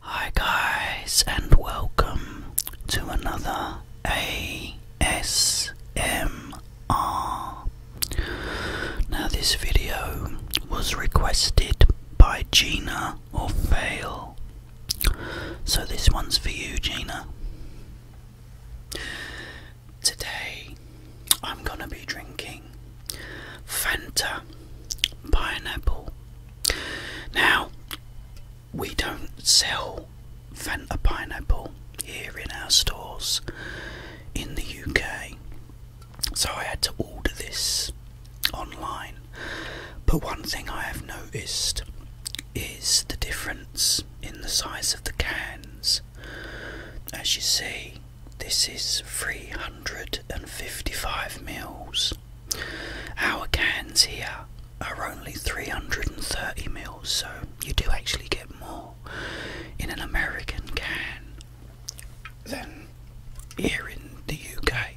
Hi, guys, and welcome to another ASMR. Now, this video was requested by Gina or Fail, so this one's for you, Gina. Today, I'm gonna be drinking Fanta pineapple. Now, we don't sell Fanta pineapple here in our stores in the UK, so I had to order this online. But one thing I have noticed is the difference in the size of the cans as you see, this is 355 mils. Our cans here are only 330 mils, so you do actually get more in an American can than here in the UK.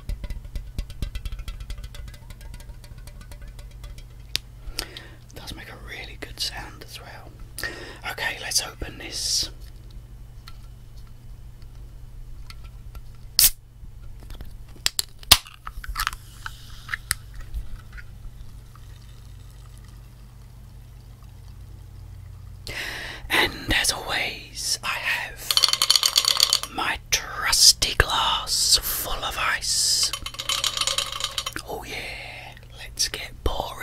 does make a really good sound as well. Okay, let's open this. And as always, I have my trusty glass full of ice. Oh, yeah, let's get boring.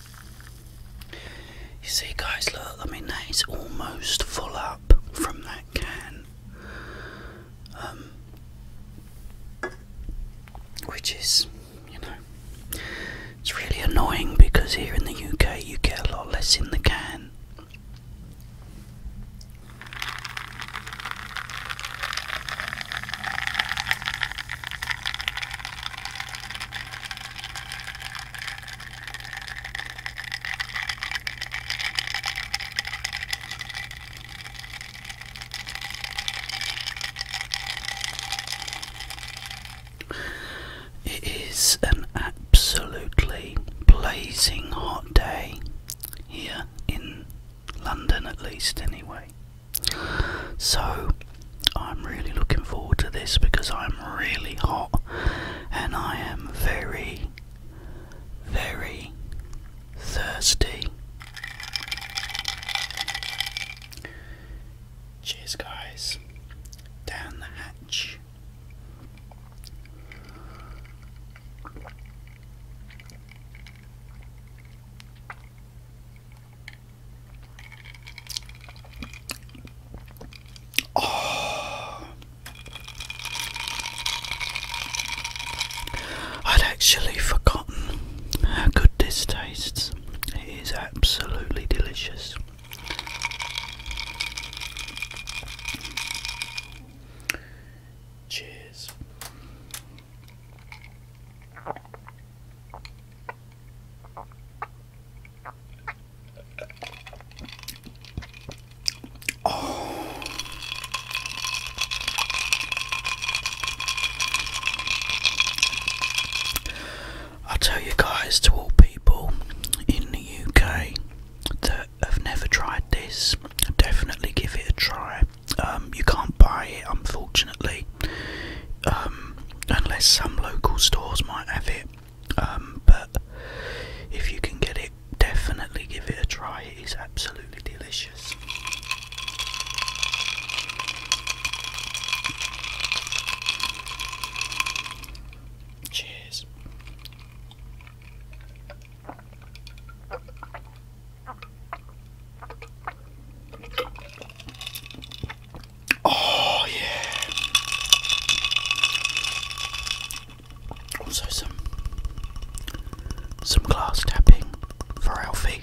You see, guys, look, I mean, that is almost full up from that can, um, which is, you know, it's really annoying because here in the UK you get a lot less in the can. It is an absolutely blazing hot day here in London, at least, anyway. So I'm really looking forward to this because I'm really hot and I am very, very thirsty. Cheers, guys. Down the hatch. Oh. I'd actually forgotten how good this tastes. It is absolutely delicious. Cheers. Oh. I'll tell you guys, to all people in the UK that have never tried this, definitely give it a try. Um, you can't buy it, unfortunately, um, unless some local stores might have it. Um, but if you can get it, definitely give it a try. It is absolutely delicious. Cheers. Oh, yeah. Also, some some glass tapping for Alfie.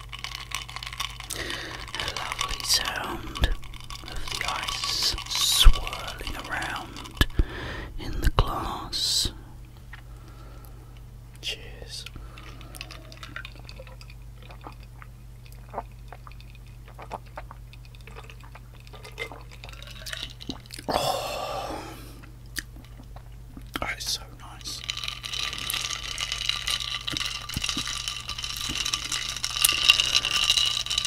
A lovely sound of the ice swirling around in the glass. Cheers. Oh, that is so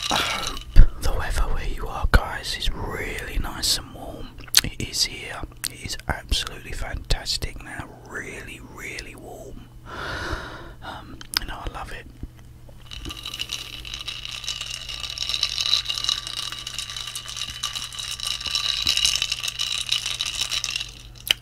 I hope the weather where you are, guys, is really nice and warm. It is here. It is absolutely fantastic now. Really, really warm. Um, you know, I love it.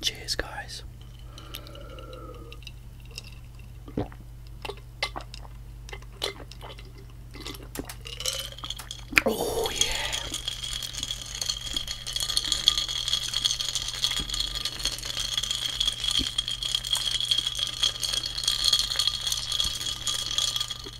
Cheers, guys. Oh, yeah. Okay,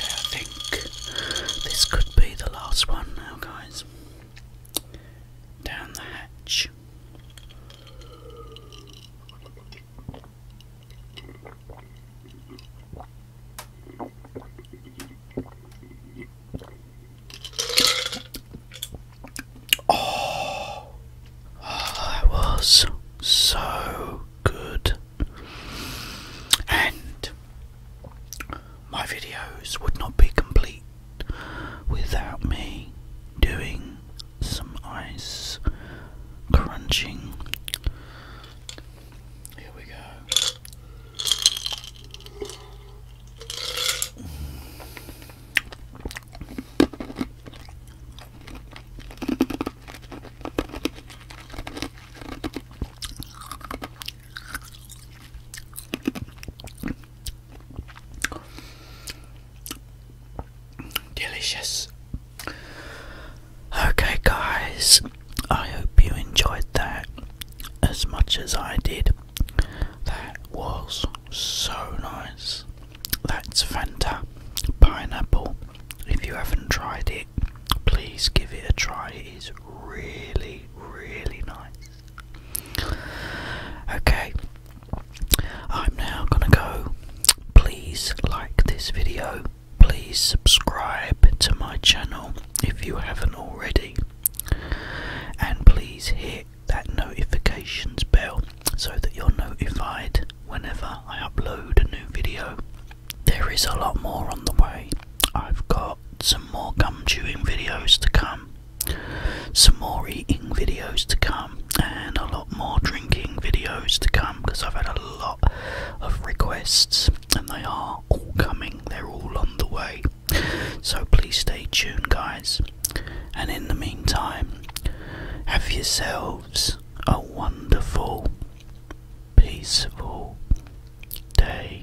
I think this could be the last one now, guys down the hatch. Oh, that was so good. And my videos would not be complete without me doing some ice crunching. Here we go. Delicious. Okay, guys, I hope you enjoyed that as much as I did. That was so nice. That's Fanta Pineapple. If you haven't tried it, please give it a try. It is really, really nice. Okay, I'm now gonna go. Please like this video, please subscribe to my channel if you haven't already, and please hit that notifications bell so that you're notified whenever I upload a new video there is a lot more on the way. I've got some more gum chewing videos to come, some more eating videos to come, and a lot more drinking videos to come because I've had a lot of requests and they are all coming, they're all on the way. So please stay tuned, guys. And in the meantime, have yourselves a wonderful, peaceful, day.